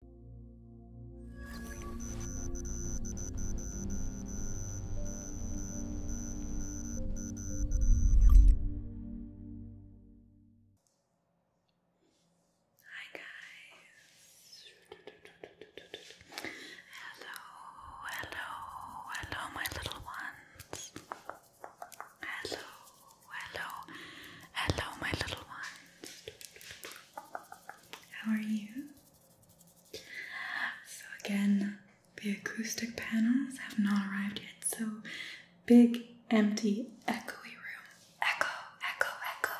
Hi guys. Hello, hello, hello my little ones. Hello, hello, hello my little ones. How are you? So, again, the acoustic panels have not arrived yet, so big, empty, echoey room. Echo, echo, echo,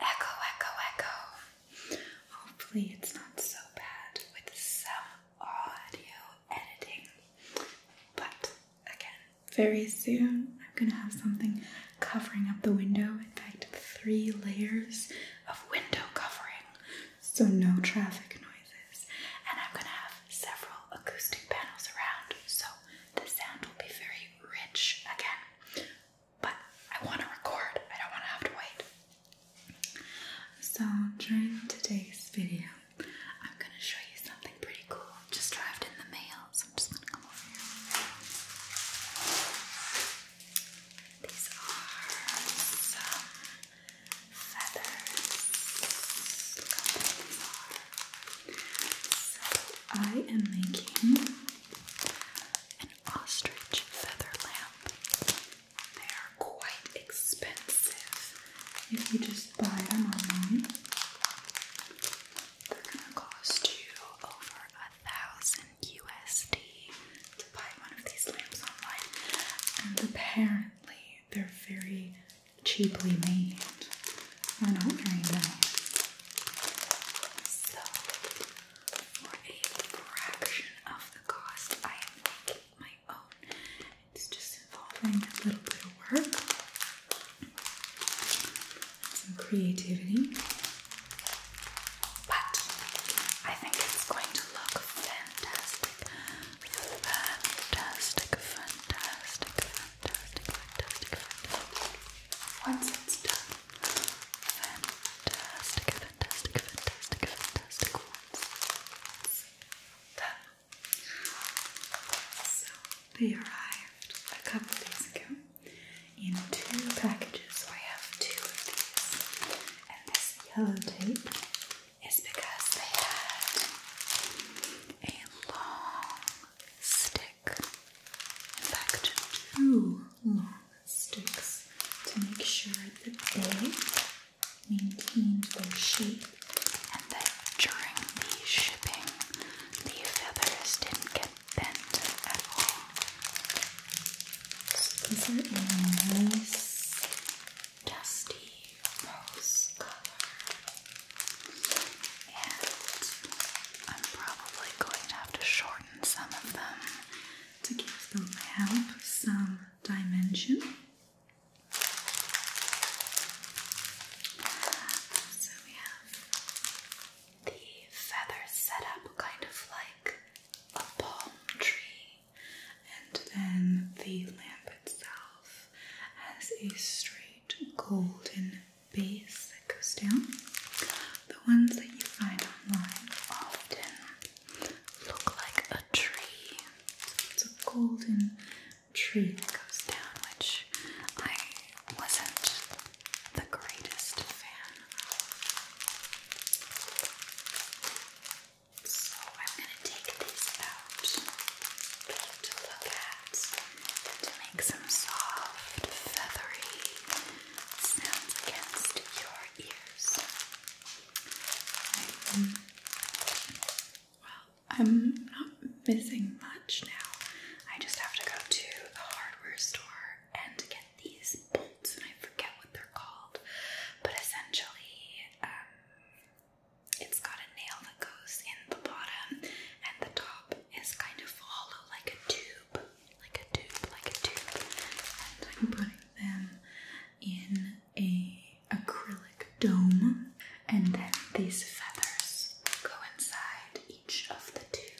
echo, echo, echo. Hopefully, it's not so bad with some audio editing, but again, very soon I'm gonna have something covering up the window. In fact, three layers of window covering, so no traffic noises. And I'm gonna have several acoustic panels around, so the sound will be very rich again. But I wanna record, I don't wanna have to wait. So during today's video, I'm gonna show you something pretty cool. Just arrived in the mail, I'm These are feathers. I am making an ostrich feather lamp. They are quite expensive if you just buy them online. They're gonna cost you over thousand USD to buy one of these lamps online, and apparently they're very cheaply made. They're not very nice. So, for a fraction of the cost, I am making my own. It's just involving a little bit of work. Some creativity. But I think it's going to look fantastic. Fantastic, fantastic, fantastic, fantastic, fantastic. Once it's done. Fantastic, fantastic, fantastic, fantastic. Once So they arrived a couple days ago in two packages. So I have two of these. And this yellow tape is because they had a long stick. In fact, two long sticks to make sure that they maintained their shape and that during the shipping the feathers didn't get bend at all. So these are a nice, dusty rose color. And I'm probably going to have to shorten some of them to give the lamp some dimension. So we have the feathers set up kind of like a palm tree, and then the lamp itself has a straight golden base that goes down. The ones that you find online often look like a tree, it's a golden tree that goes down, which I wasn't the greatest fan So I'm going to take these out to look at to make some soft, feathery sounds against your ears. well, I'm not missing much now. I just have to go to the hardware store and get these bolts, and I forget what they're called. But essentially, um, it's got a nail that goes in the bottom, and the top is kind of hollow, like a tube, like a tube, like a tube. And I'm putting them in a acrylic dome, and then these feathers go inside each of the tubes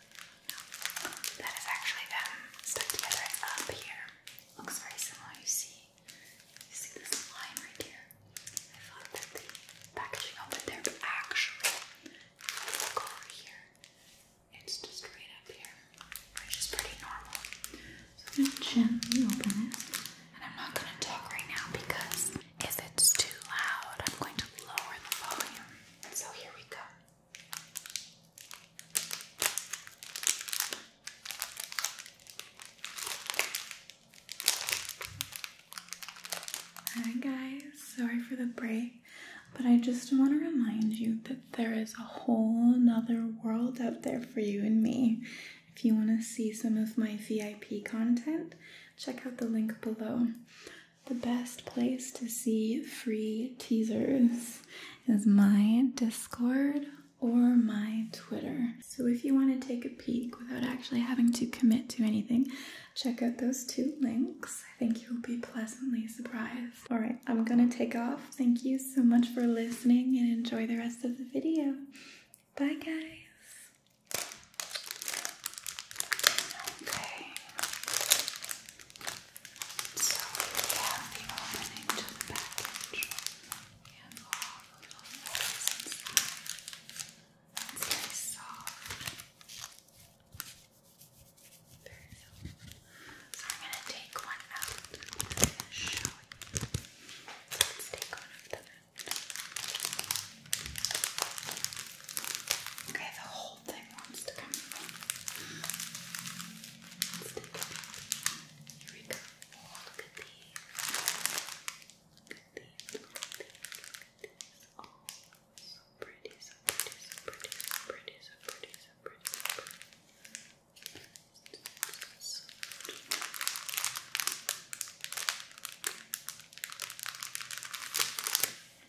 that is actually them stuck together up here. Looks very similar. You see, you see this line right here. I thought that the packaging opened there, but actually, look over here. It's just right up here, which is pretty normal. So I'm gonna gently open this, and I'm not gonna talk right now because if it's too loud, I'm going to lower the volume. So here we go. Hi guys, sorry for the break, but I just want to remind you that there is a whole nother world out there for you and me. If you want to see some of my VIP content, check out the link below the best place to see free teasers is my Discord or my Twitter. So if you want to take a peek without actually having to commit to anything, check out those two links. I think you'll be pleasantly surprised. All right, I'm gonna take off. Thank you so much for listening and enjoy the rest of the video. Bye guys. Okay. So we have the opening to the package and all the little things It's very soft. Very soft. So I'm gonna take one out I'm gonna show you. let's take one of them Okay, the whole whole thing wants to come out. Here we go. look at these. Look at these. Look these. these. Oh, so pretty, so pretty, so pretty, so pretty, so pretty, so pretty, so pretty. So pretty.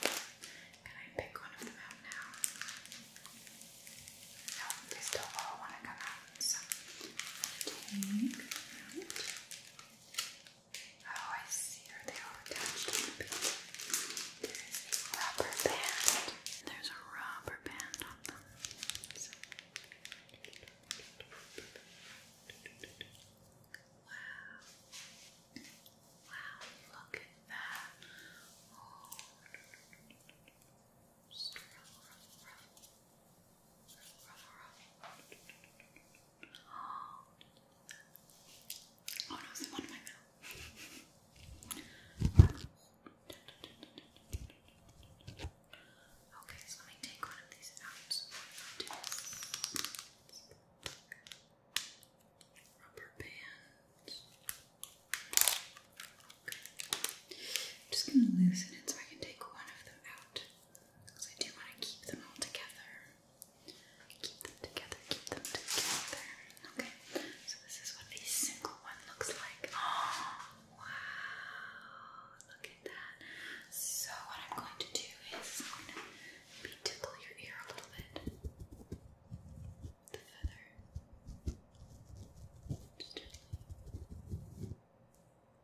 Can I pick one of them out now? No, they still all want to come out. So Oh, I see. Are they all attached There's a rubber band. There's a rubber band on them. Wow. Wow, look at that. Oh. Oh no, it's in my mouth. Okay, so let me take one of these out rubber bands. just going to loosen it so I can take one of them out because I do want to keep them all together. Keep them together, keep them together. Okay, so this is what a single one looks like. Oh, wow, look at that. So, what I'm going to do is Maybe tickle your ear a little bit. The feather.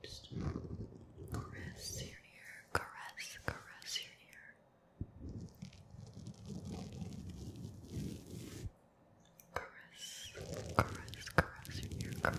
Just Just caress your ear. Caress, caress your ear. Caress, caress, caress your ear. Caress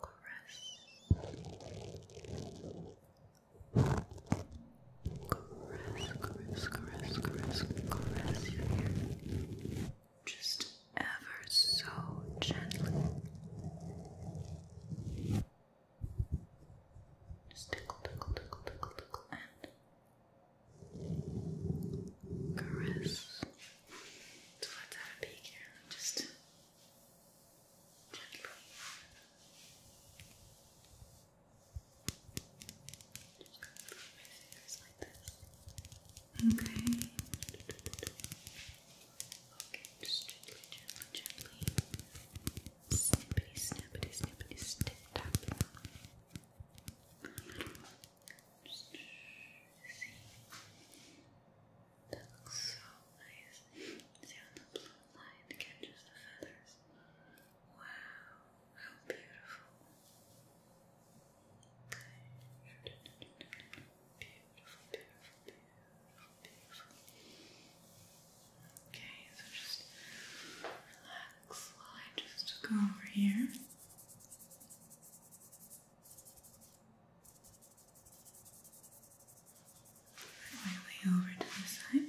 caress, caress, caress, caress your hair just ever so gently. Just tickle, tickle, tickle, tickle, and caress. So let's have a peek here, just gently. Just like this. Okay. Okay, just gently, gently, gently. Snippity, snippity, snippity, tap. That looks so nice. See how the blue line catches the feathers? Wow, how beautiful. Beautiful, beautiful, beautiful, beautiful. Okay, so just relax just go over here. Finally over to the side.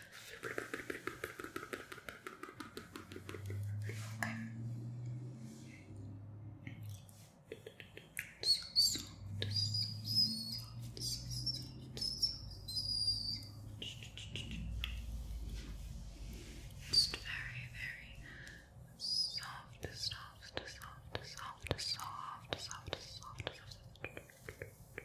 Okay. So soft, so soft, so soft, so soft. Just very, very soft, soft, soft, soft, soft, soft, soft, soft. soft.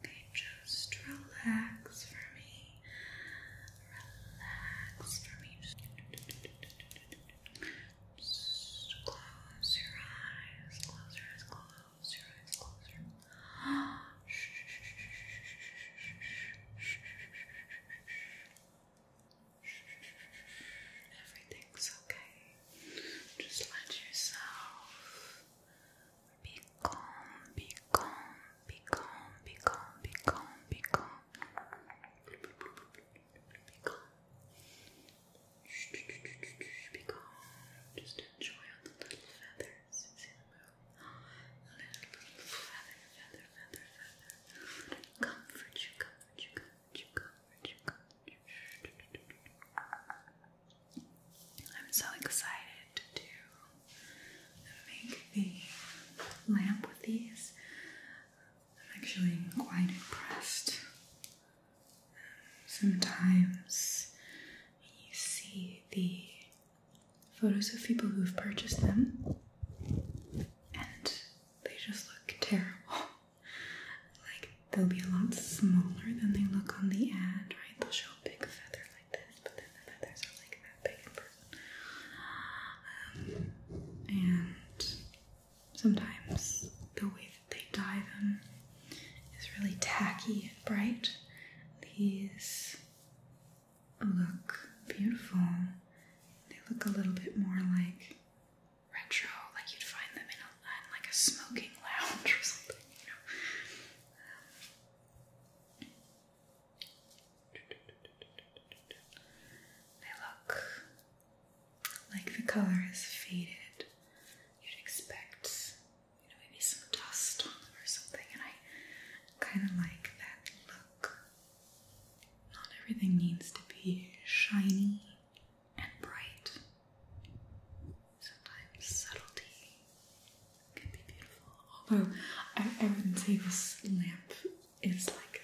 Okay, just relax for me. Relax for me. close your eyes. Close your eyes. Close your eyes. Close your eyes. Everything's okay. Just let yourself be calm, be calm, be calm, be Just enjoy the little feathers. Little, feather, feather, feather, feather. Comfort you, comfort you, comfort you, comfort you, comfort you. I'm so excited to make the lamp with these. I'm actually quite impressed. Sometimes you see the photos of people who've purchased them and they just look terrible. like they'll be a lot smaller than they look on the ad, right? They'll show a big feather but then the feathers are like that big in person. and sometimes the way that they dye them is really tacky and bright. These look beautiful. They look a little bit more like retro, like you'd find them in, a, like a smoking lounge or something, they look like the color has faded. You'd expect, maybe some dust on them or something, and I kind of like that look. Not everything needs to be shiny and bright sometimes subtlety can be beautiful. Although I, I wouldn't say this lamp is like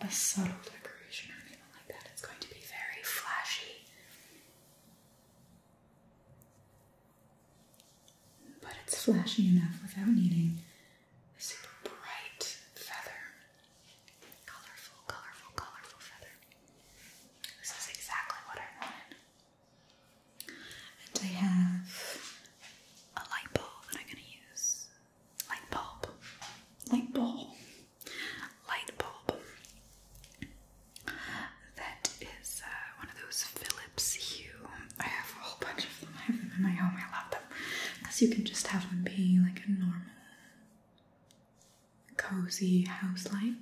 a subtle decoration or anything like that. It's going to be very flashy. But it's flashy enough without needing a super bright feather. Colorful, colorful, colorful feather. This is exactly what I wanted. And I have a light bulb that I'm going to use. Light bulb. Light bulb. Light bulb. That is uh, one of those Philips Hue. I have a whole bunch of them. I have them in my home. I love them. Because you can just have them be like a normal, cozy house light.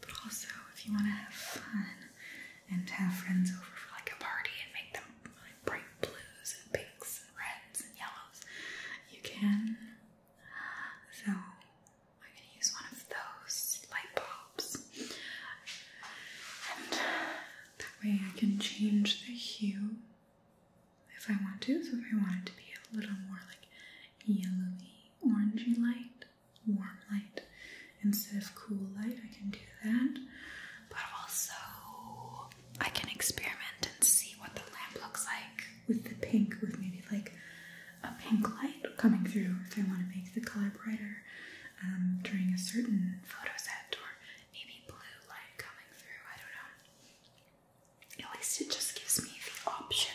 But also, if you want to have fun and have friends over for like a party and make them like bright blues and pinks and reds and yellows, you can. So, I'm going to use one of those light bulbs. And that way I can change the hue if I want to. So, if I want it to be a little more like yellowy, orangey light, warm light instead of cool light. I can do that. But also, I can experiment and see what the lamp looks like with the pink, with maybe like a pink light coming through if I want to make the color brighter um, during a certain photo set, or maybe blue light coming through. I don't know. At least it just gives me the option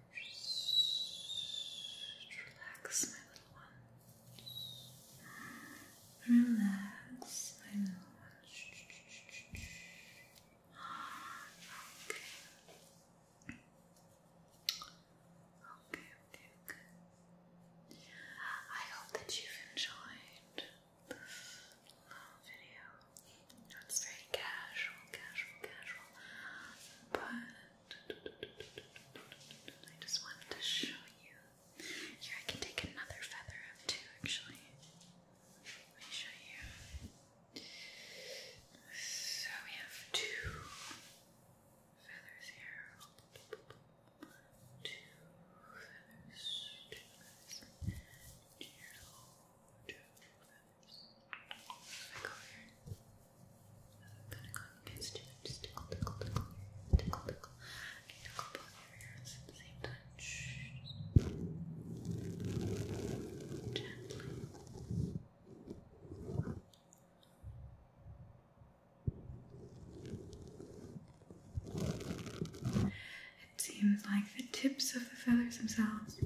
Relax, my little one. Relax, my little one. Okay. Okay, okay, I hope that you've enjoyed this little video. That's very casual, casual, casual. But I just wanted to show you. Here, I can take another feather up too, actually. Let me show you. So we have two feathers here. Two feathers, two two, it seems like the tips of the feathers themselves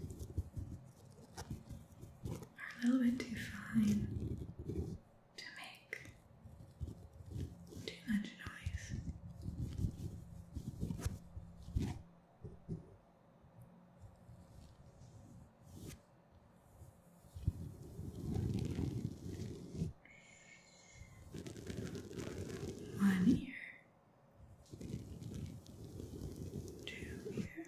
are a little bit too fine to make too much noise. One ear, two ear,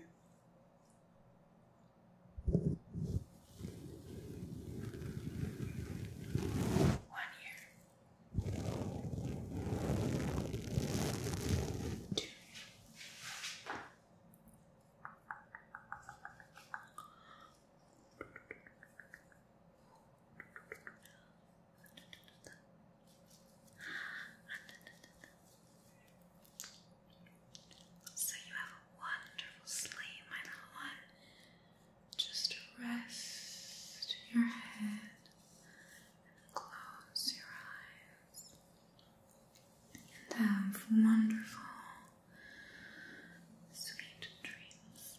one ear. Two. Three. So you have a wonderful sleep, my little one. Just rest your head and close your eyes and have wonderful, sweet dreams.